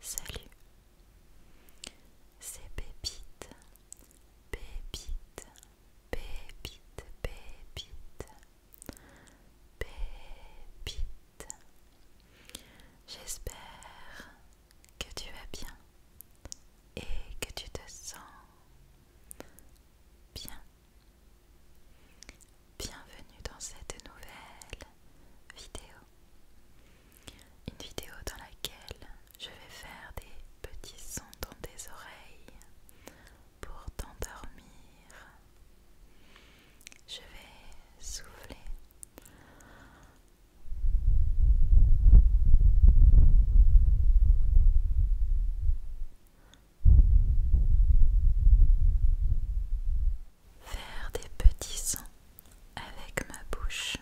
Salut, c'est Pépite, Pépite, Pépite, Pépite, Pépite. J'espère que tu vas bien et que tu te sens bien. Bienvenue dans cette nouvelle vidéo. Une vidéo dans laquelle je vais faire des petits sons dans tes oreilles pour t'endormir. Je vais souffler. Faire des petits sons avec ma bouche.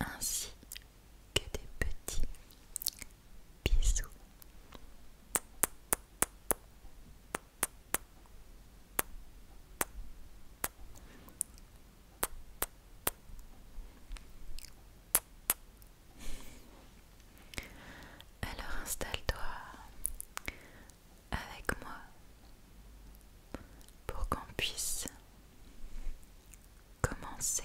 Ainsi, que des petits bisous. Alors installe-toi avec moi pour qu'on puisse commencer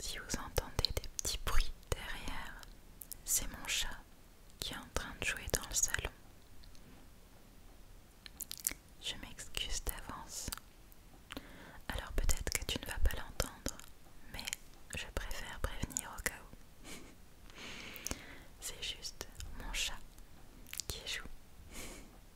Si vous entendez des petits bruits derrière, c'est mon chat qui est en train de jouer dans le salon. Je m'excuse d'avance. Alors peut-être que tu ne vas pas l'entendre, mais je préfère prévenir au cas où. C'est juste mon chat qui joue.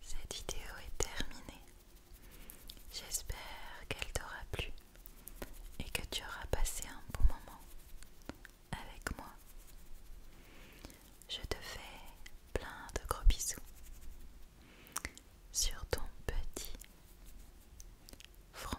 Cette vidéo est terminée. J'espère qu'elle t'aura plu et que tu auras passé un bon moment avec moi. Je te fais plein de gros bisous sur ton petit front.